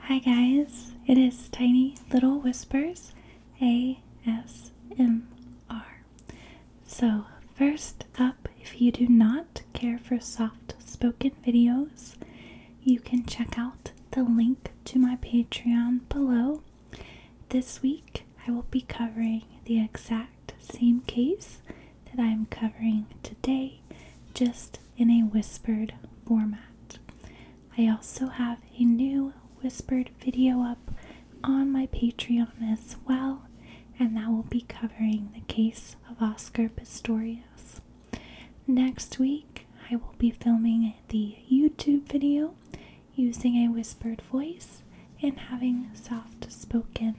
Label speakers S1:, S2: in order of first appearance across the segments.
S1: Hi guys, it is Tiny Little Whispers ASMR. So, first up, if you do not care for soft spoken videos, you can check out the link to my Patreon below. This week, I will be covering the exact same case that I am covering today, just in a whispered format. I also have a new whispered video up on my Patreon as well, and that will be covering the case of Oscar Pistorius. Next week, I will be filming the YouTube video using a whispered voice and having soft spoken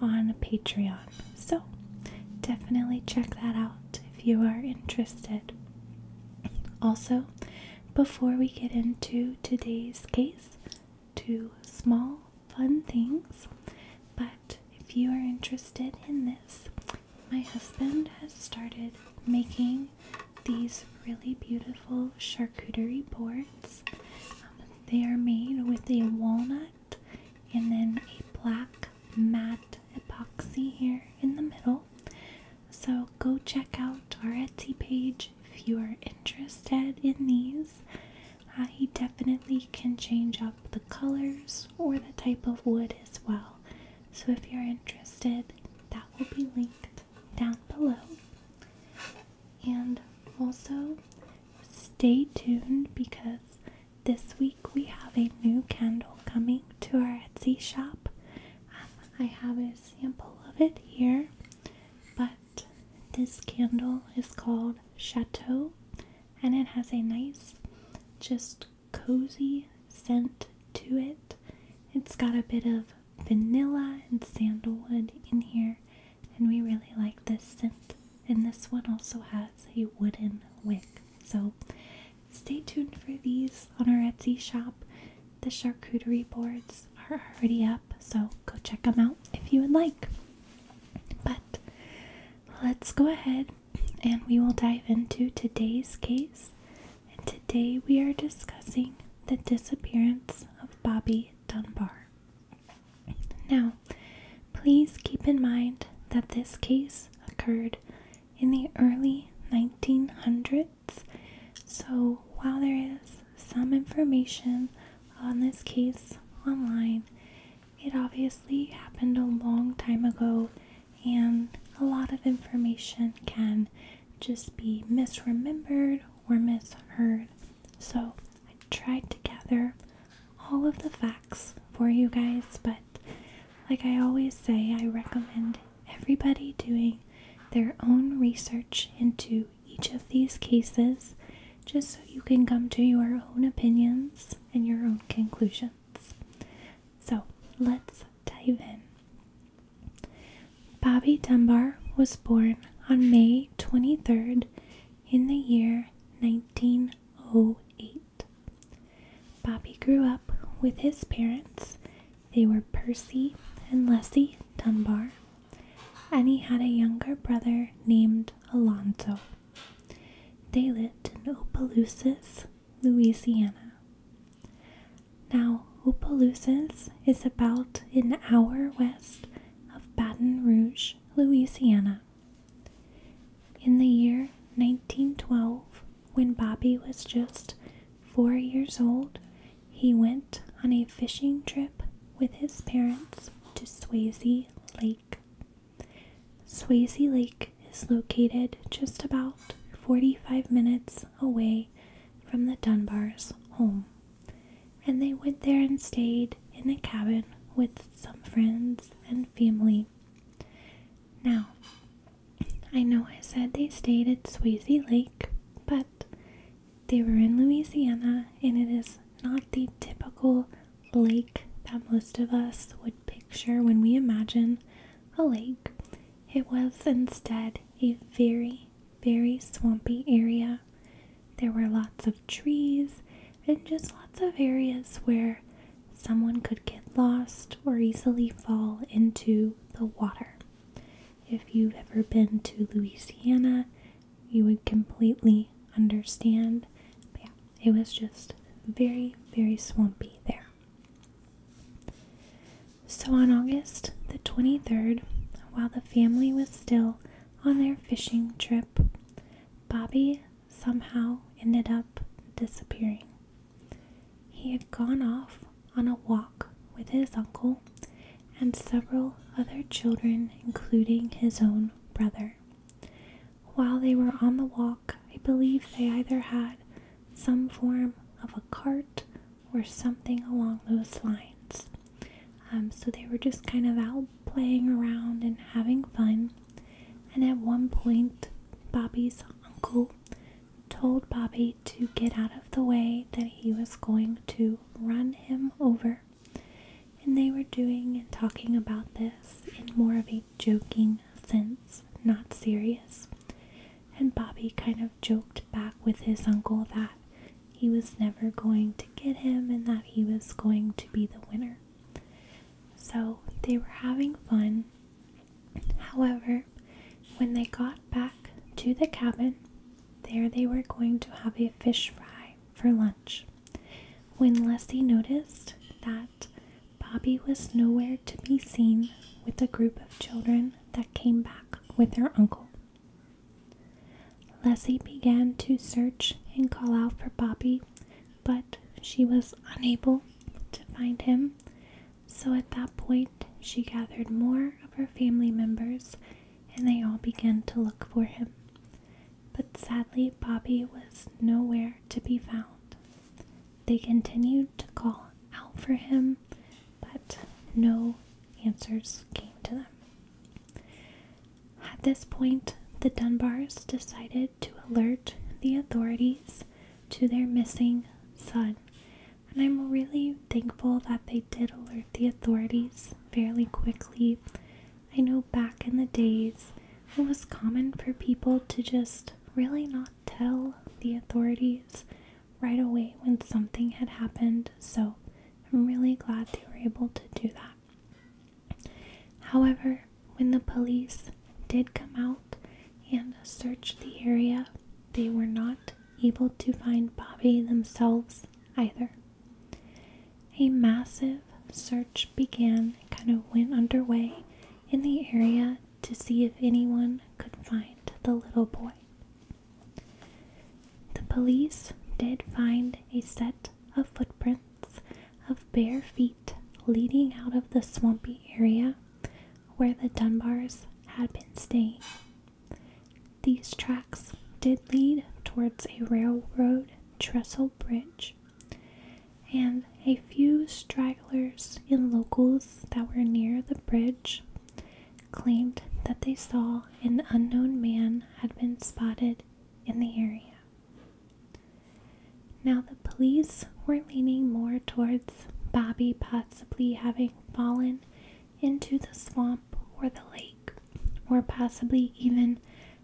S1: on Patreon. So, definitely check that out if you are interested. Also, before we get into today's case, two small fun things. But if you are interested in this, my husband has started making these really beautiful charcuterie boards. Um, they are made with a walnut and then a black mat epoxy here in the middle. So go check out our Etsy page if you are interested in these. Uh, he definitely can change up the colors or the type of wood as well. So if you're interested, that will be linked down below. And also stay tuned because this week we have a new candle coming to our Etsy shop. Um, I have a sample of it here, but this candle is called Chateau and it has a nice, just cozy scent to it. It's got a bit of vanilla and sandalwood in here, and we really like this scent. And this one also has a wooden wick, so Stay tuned for these on our Etsy shop. The charcuterie boards are already up, so go check them out if you would like. But let's go ahead and we will dive into today's case. And today we are discussing the disappearance of Bobby Dunbar. Now, please keep in mind that this case occurred in the early 1900s. So, while there is some information on this case online, it obviously happened a long time ago, and a lot of information can just be misremembered or misheard. So, I tried to gather all of the facts for you guys, but like I always say, I recommend everybody doing their own research into each of these cases just so you can come to your own opinions and your own conclusions. So let's dive in. Bobby Dunbar was born on May 23rd in the year 1908. Bobby grew up with his parents. They were Percy and Leslie Dunbar, and he had a younger brother named Alonzo. They lived in Opelousas, Louisiana. Now, Opelousas is about an hour west of Baton Rouge, Louisiana. In the year 1912, when Bobby was just four years old, he went on a fishing trip with his parents to Swayze Lake. Swayze Lake is located just about 45 minutes away from the Dunbars' home, and they went there and stayed in a cabin with some friends and family. Now, I know I said they stayed at Swayze Lake, but they were in Louisiana, and it is not the typical lake that most of us would picture when we imagine a lake. It was instead a very, very swampy area. There were lots of trees and just lots of areas where someone could get lost or easily fall into the water. If you've ever been to Louisiana, you would completely understand. yeah, it was just very, very swampy there. So on August the 23rd, while the family was still on their fishing trip, Bobby somehow ended up disappearing. He had gone off on a walk with his uncle and several other children, including his own brother. While they were on the walk, I believe they either had some form of a cart or something along those lines. Um, so they were just kind of out playing around and having fun. And at one point, Bobby's uncle told Bobby to get out of the way, that he was going to run him over. And they were doing and talking about this in more of a joking sense, not serious. And Bobby kind of joked back with his uncle that he was never going to get him and that he was going to be the winner. So they were having fun, However, when they got back to the cabin, there they were going to have a fish fry for lunch. When Leslie noticed that Bobby was nowhere to be seen with the group of children that came back with her uncle, Leslie began to search and call out for Bobby, but she was unable to find him, so at that point she gathered more of her family members and they all began to look for him. But sadly, Bobby was nowhere to be found. They continued to call out for him, but no answers came to them. At this point, the Dunbars decided to alert the authorities to their missing son. And I'm really thankful that they did alert the authorities fairly quickly. I know back in the days, it was common for people to just really not tell the authorities right away when something had happened. So I'm really glad they were able to do that. However, when the police did come out and search the area, they were not able to find Bobby themselves either. A massive search began, kind of went underway in the area to see if anyone could find the little boy. The police did find a set of footprints of bare feet leading out of the swampy area where the Dunbars had been staying. These tracks did lead towards a railroad trestle bridge, and a few stragglers and locals that were near the bridge claimed that they saw an unknown man had been spotted in the area. Now, the police were leaning more towards Bobby possibly having fallen into the swamp or the lake, or possibly even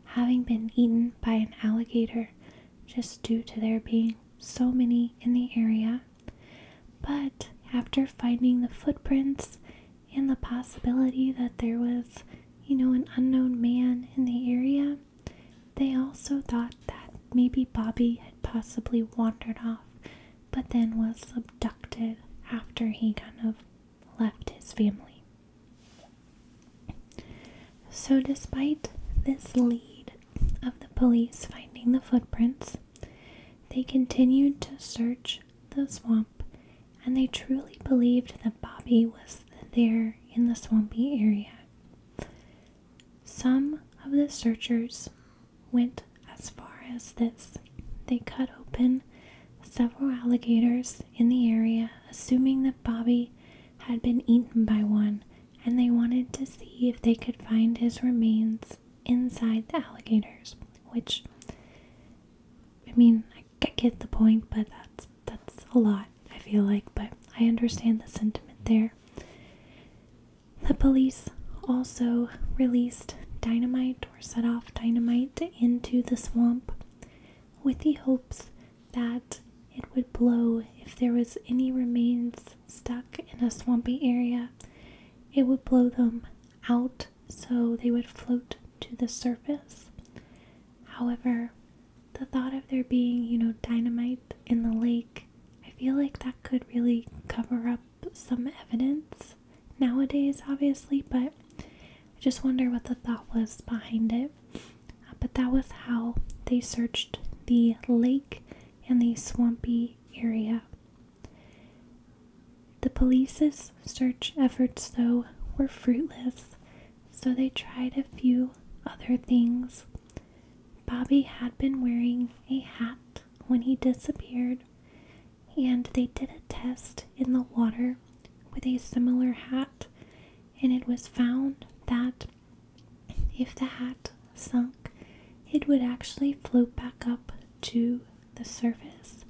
S1: having been eaten by an alligator just due to there being so many in the area. But after finding the footprints and the possibility that there was, you know, an unknown man in the area, they also thought that maybe Bobby had possibly wandered off, but then was abducted after he kind of left his family. So, despite this lead of the police finding the footprints, they continued to search the swamp and they truly believed that Bobby was there in the swampy area. Some of the searchers went as far as this. They cut open several alligators in the area, assuming that Bobby had been eaten by one, and they wanted to see if they could find his remains inside the alligators, which I mean, I get the point, but that's that's a lot. I feel like, but I understand the sentiment there. The police also released dynamite or set off dynamite into the swamp with the hopes that it would blow if there was any remains stuck in a swampy area. It would blow them out so they would float to the surface. However, the thought of there being, you know, dynamite in the lake, I feel like that could really cover up some evidence nowadays, obviously, but I just wonder what the thought was behind it. Uh, but that was how they searched the lake and the swampy area. The police's search efforts, though, were fruitless, so they tried a few other things. Bobby had been wearing a hat when he disappeared, and they did a test in the water with a similar hat, and it was found that if the hat sunk, it would actually float back up to the surface.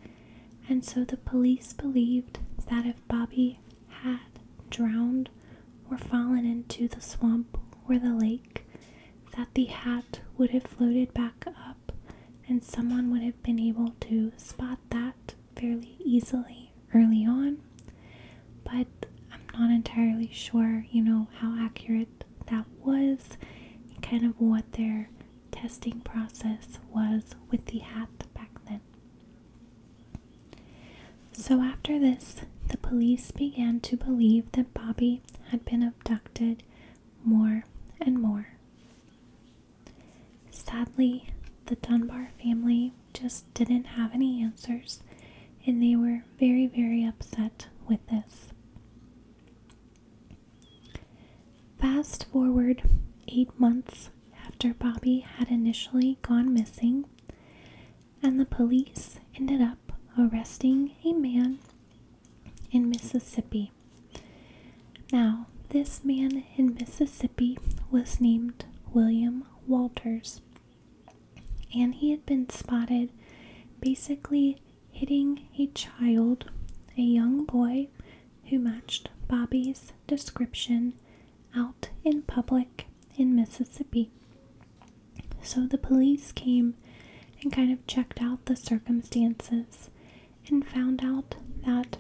S1: And so the police believed that if Bobby had drowned or fallen into the swamp or the lake, that the hat would have floated back up and someone would have been able to spot that fairly easily early on. But I'm not entirely sure, you know, how accurate that was and kind of what their testing process was with the hat back then. So after this, the police began to believe that Bobby had been abducted more and more. Sadly, the Dunbar family just didn't have any answers, and they were very, very upset with this. Fast forward eight months after Bobby had initially gone missing, and the police ended up arresting a man in Mississippi. Now, this man in Mississippi was named William Walters, and he had been spotted basically hitting a child, a young boy who matched Bobby's description, out in public in Mississippi. So the police came and kind of checked out the circumstances and found out that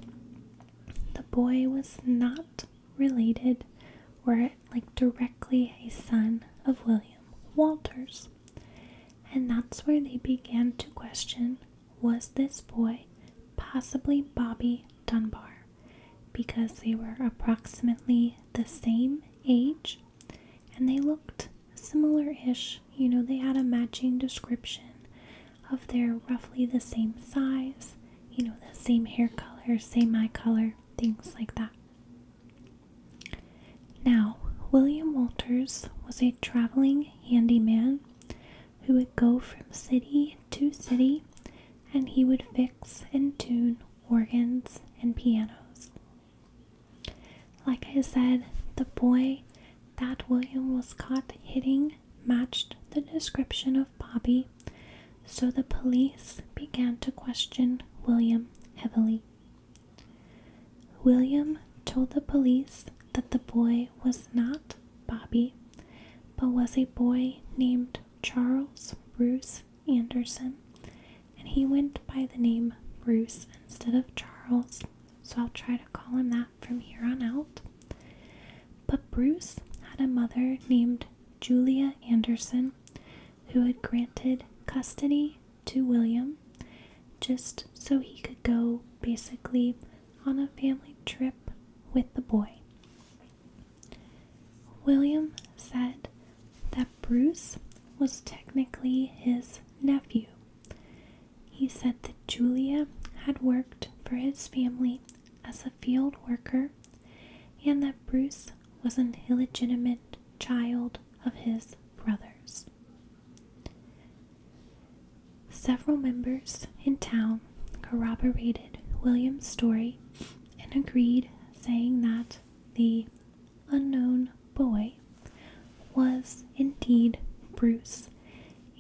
S1: the boy was not related or like directly a son of William Walters. And that's where they began to question was this boy possibly Bobby Dunbar because they were approximately the same age, and they looked similar ish. You know, they had a matching description of their roughly the same size, you know, the same hair color, same eye color, things like that. Now, William Walters was a traveling handyman who would go from city to city and he would fix and tune organs, and pianos. Like I said, the boy that William was caught hitting matched the description of Bobby, so the police began to question William heavily. William told the police that the boy was not Bobby, but was a boy named Charles Bruce Anderson, and he went by the name Bruce instead of Charles, so I'll try to call him that from here on out. But Bruce had a mother named Julia Anderson who had granted custody to William just so he could go basically on a family trip with the boy. William said that Bruce was technically his nephew. He said that Julia had worked for his family as a field worker and that Bruce was an illegitimate child of his brothers. Several members in town corroborated William's story and agreed, saying that the unknown boy was indeed Bruce,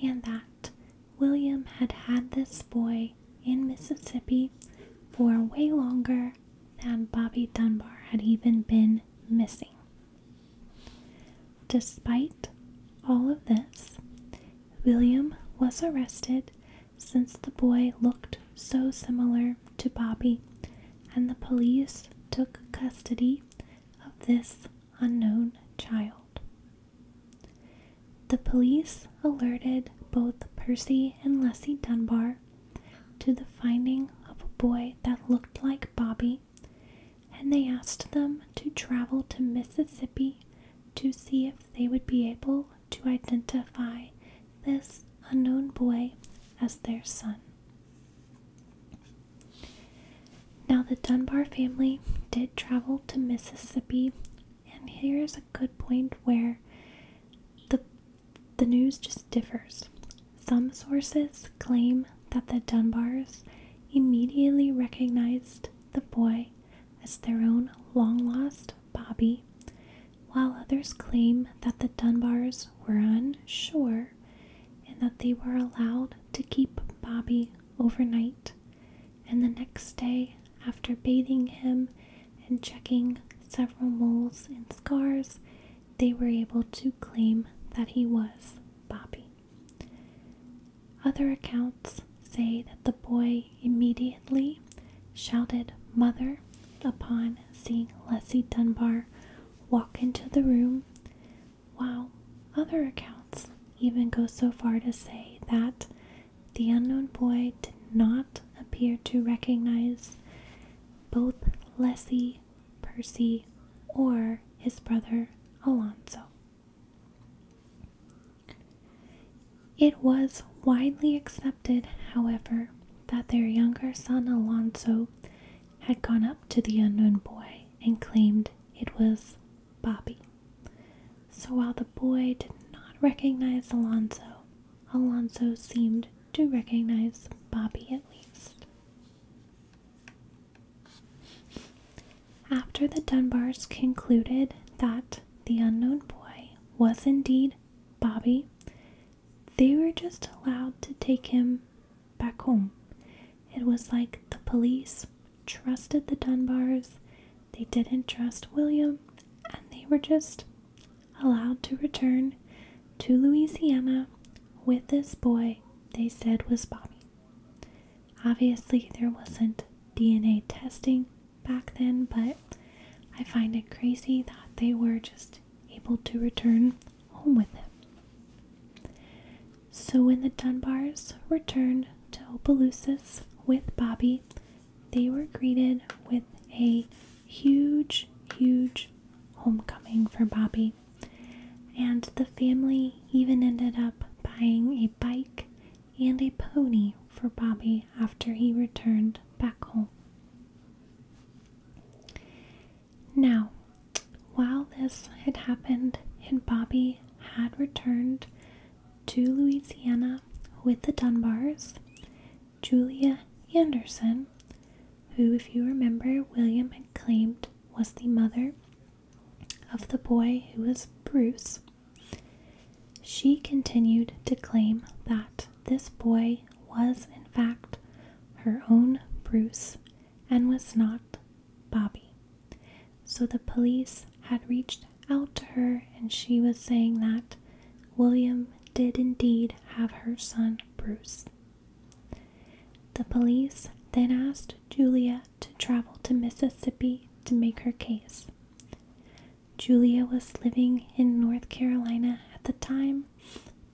S1: and that William had had this boy in Mississippi for way longer than Bobby Dunbar had even been missing. Despite all of this, William was arrested since the boy looked so similar to Bobby, and the police took custody of this unknown child. The police alerted both Percy and Leslie Dunbar to the finding of a boy that looked like Bobby, and they asked them to travel to Mississippi to see if they would be able to identify this unknown boy as their son. Now, the Dunbar family did travel to Mississippi, and here's a good point where the, the news just differs. Some sources claim that the Dunbars immediately recognized the boy as their own long lost Bobby, while others claim that the Dunbars were unsure and that they were allowed to keep Bobby overnight and the next day, after bathing him and checking several moles and scars, they were able to claim that he was Bobby. Other accounts say that the boy immediately shouted, Mother, upon seeing Leslie Dunbar walk into the room, while other accounts even go so far to say that the unknown boy did not appear to recognize both Leslie, Percy, or his brother Alonso. It was widely accepted, however, that their younger son Alonzo had gone up to the unknown boy and claimed it was Bobby. So while the boy did not recognize Alonzo, Alonzo seemed to recognize Bobby at least. After the Dunbars concluded that the unknown boy was indeed Bobby, they were just allowed to take him back home. It was like the police trusted the Dunbars, they didn't trust William, and they were just allowed to return to Louisiana with this boy they said was Bobby. Obviously, there wasn't DNA testing back then, but I find it crazy that they were just able to return home with him. So when the Dunbars returned to Opelousas with Bobby, they were greeted with a huge, huge homecoming for Bobby. And the family even ended up buying a bike and a pony for Bobby after he returned back home. Now, while this had happened and Bobby had returned to Louisiana with the Dunbars, Julia Anderson, who, if you remember, William had claimed was the mother of the boy who was Bruce, she continued to claim that this boy was, in fact, her own Bruce and was not Bobby. So the police had reached out to her, and she was saying that William did indeed have her son Bruce. The police then asked Julia to travel to Mississippi to make her case. Julia was living in North Carolina at the time,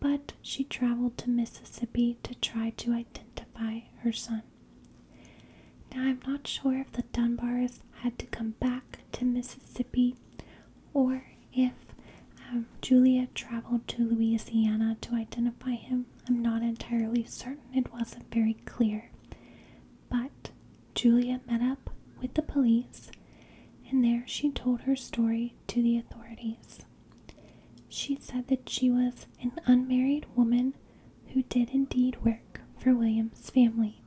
S1: but she traveled to Mississippi to try to identify her son. Now, I'm not sure if the Dunbars had to come back to Mississippi or if um, Julia traveled to Louisiana to identify him. I'm not entirely certain, it wasn't very clear. But Julia met up with the police and there she told her story to the authorities. She said that she was an unmarried woman who did indeed work for William's family.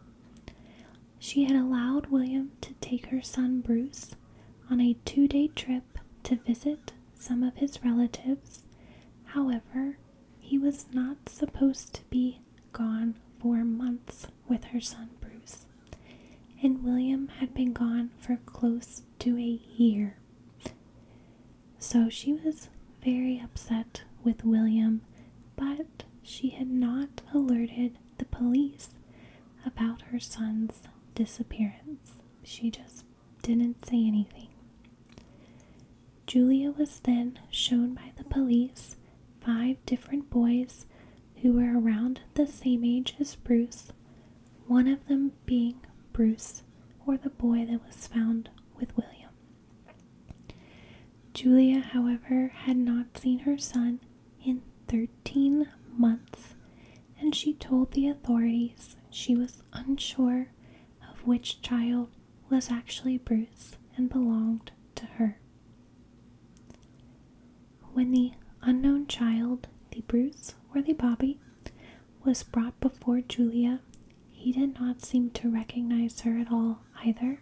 S1: She had allowed William to take her son Bruce on a two day trip to visit some of his relatives. However, he was not supposed to be gone for months with her son Bruce, and William had been gone for close to a year. So she was very upset with William, but she had not alerted the police about her son's disappearance. She just didn't say anything. Julia was then shown by the police five different boys who were around the same age as Bruce, one of them being Bruce, or the boy that was found with William. Julia, however, had not seen her son in 13 months, and she told the authorities she was unsure of which child was actually Bruce and belonged to her. When the unknown child, the Bruce or the Bobby, was brought before Julia, he did not seem to recognize her at all either,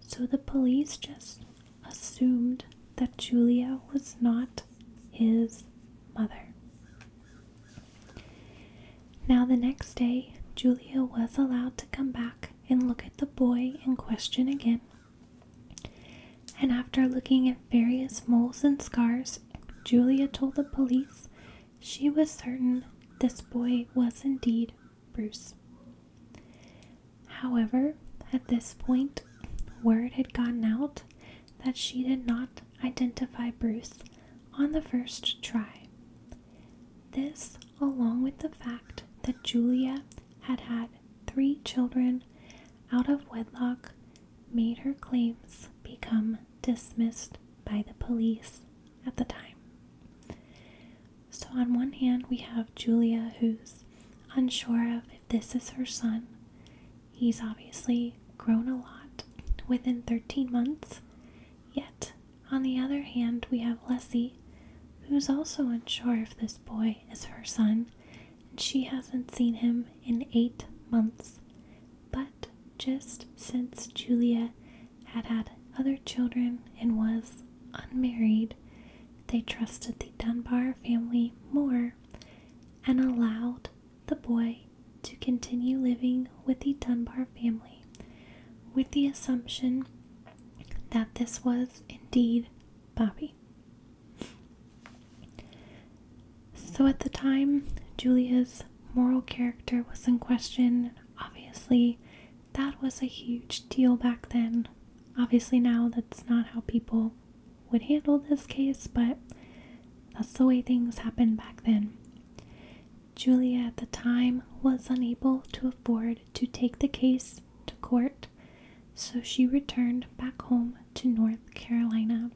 S1: so the police just assumed that Julia was not his mother. Now, the next day, Julia was allowed to come back and look at the boy in question again, and after looking at various moles and scars, Julia told the police she was certain this boy was indeed Bruce. However, at this point, word had gotten out that she did not identify Bruce on the first try. This, along with the fact that Julia had had three children out of wedlock made her claims become dismissed by the police at the time. So, on one hand, we have Julia who's unsure of if this is her son. He's obviously grown a lot within 13 months. Yet, on the other hand, we have Leslie who's also unsure if this boy is her son, and she hasn't seen him in eight months. But just since Julia had had other children and was unmarried, they trusted the Dunbar family more and allowed the boy to continue living with the Dunbar family with the assumption that this was indeed Bobby. So at the time, Julia's moral character was in question. Obviously, that was a huge deal back then. Obviously, now that's not how people would handle this case, but that's the way things happened back then. Julia at the time was unable to afford to take the case to court, so she returned back home to North Carolina.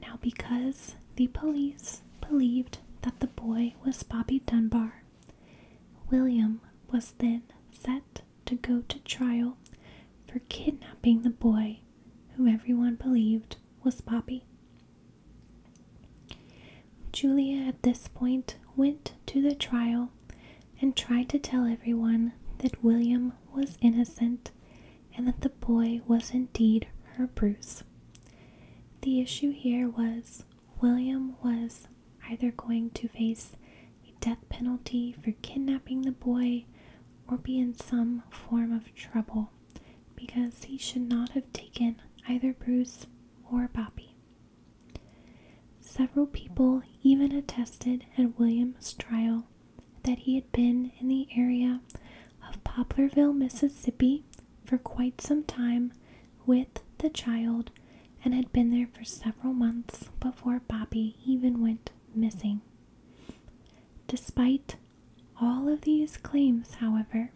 S1: Now, because the police believed that the boy was Bobby Dunbar, William was then set to go to trial for kidnapping the boy whom everyone believed was Bobby. Julia at this point went to the trial and tried to tell everyone that William was innocent and that the boy was indeed her Bruce. The issue here was William was either going to face a death penalty for kidnapping the boy or be in some form of trouble because he should not have taken either Bruce or Bobby. Several people even attested at William's trial that he had been in the area of Poplarville, Mississippi for quite some time with the child and had been there for several months before Bobby even went missing. Despite all of these claims, however,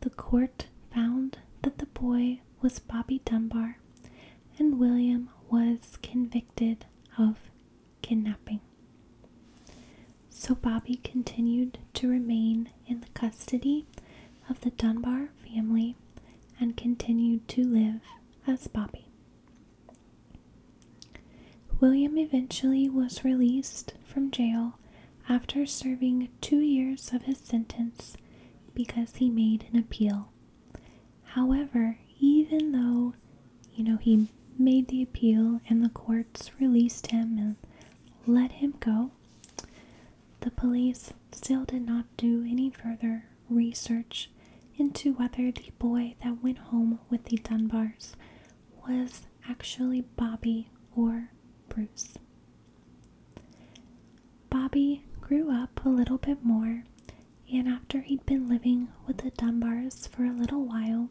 S1: the court found that the boy was Bobby Dunbar, and William was convicted of kidnapping. So Bobby continued to remain in the custody of the Dunbar family and continued to live as Bobby. William eventually was released from jail after serving two years of his sentence because he made an appeal However, even though you know he made the appeal and the courts released him and let him go, the police still did not do any further research into whether the boy that went home with the Dunbars was actually Bobby or Bruce. Bobby grew up a little bit more, and after he'd been living with the Dunbars for a little while,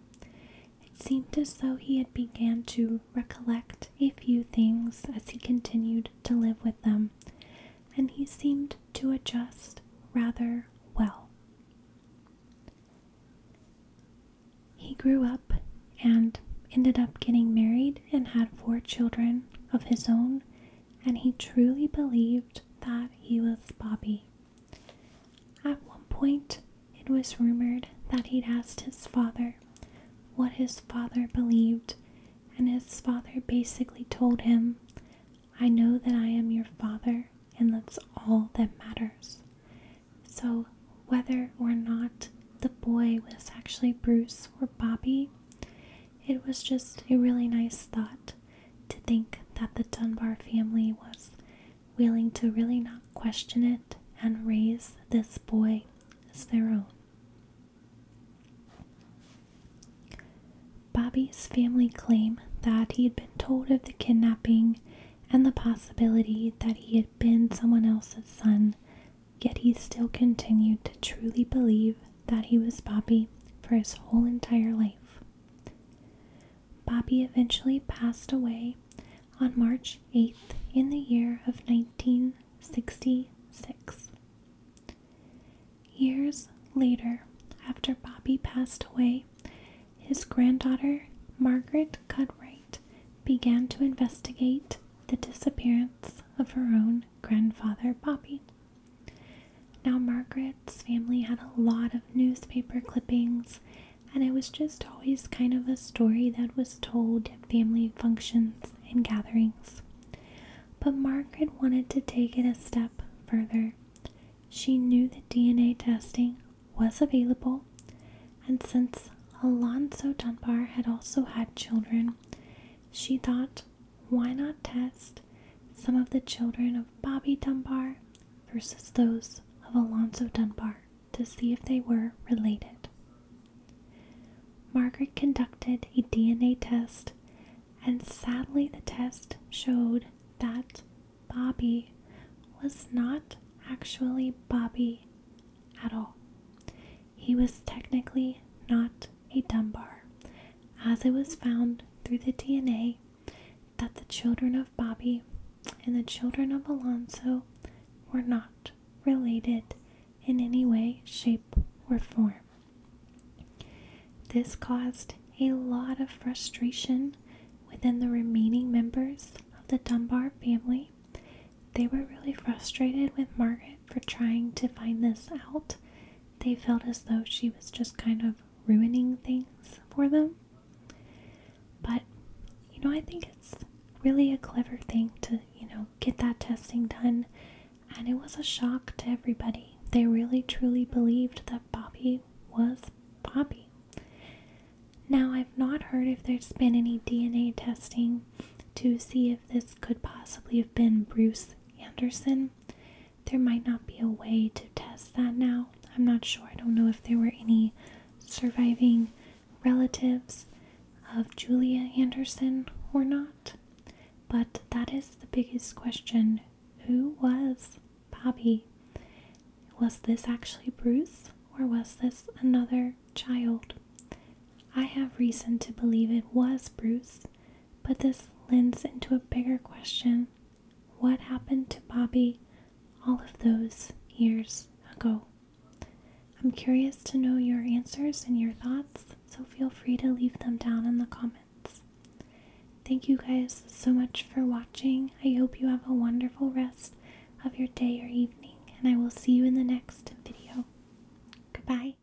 S1: it seemed as though he had began to recollect a few things as he continued to live with them, and he seemed to adjust rather well. He grew up and ended up getting married and had four children of his own and he truly believed that he was Bobby. At one point, it was rumored that he'd asked his father what his father believed, and his father basically told him, I know that I am your father, and that's all that matters. So, whether or not the boy was actually Bruce or Bobby, it was just a really nice thought to think that the Dunbar family was willing to really not question it and raise this boy as their own. Bobby's family claim that he had been told of the kidnapping and the possibility that he had been someone else's son, yet he still continued to truly believe that he was Bobby for his whole entire life. Bobby eventually passed away on March 8th in the year of 1966. Years later, after Bobby passed away, his granddaughter Margaret Cudwright began to investigate the disappearance of her own grandfather Bobby. Now, Margaret's family had a lot of newspaper clippings, and it was just always kind of a story that was told at family functions and gatherings. But Margaret wanted to take it a step further. She knew that DNA testing was available, and since Alonzo Dunbar had also had children, she thought why not test some of the children of Bobby Dunbar versus those of Alonzo Dunbar to see if they were related? Margaret conducted a DNA test, and sadly, the test showed that Bobby was not actually Bobby at all. He was technically not a Dunbar, as it was found through the DNA that the children of Bobby and the children of Alonso were not related in any way, shape, or form. This caused a lot of frustration within the remaining members of the Dunbar family. They were really frustrated with Margaret for trying to find this out they felt as though she was just kind of ruining things for them. But, you know, I think it's really a clever thing to, you know, get that testing done. And it was a shock to everybody. They really truly believed that Bobby was Bobby. Now, I've not heard if there's been any DNA testing to see if this could possibly have been Bruce Anderson. There might not be a way to test that now. I'm not sure. I don't know if there were any surviving relatives of Julia Anderson or not. But that is the biggest question. Who was Bobby? Was this actually Bruce or was this another child? I have reason to believe it was Bruce but this lends into a bigger question what happened to Bobby all of those years ago? I'm curious to know your answers and your thoughts, so feel free to leave them down in the comments. Thank you guys so much for watching. I hope you have a wonderful rest of your day or evening, and I will see you in the next video. Goodbye.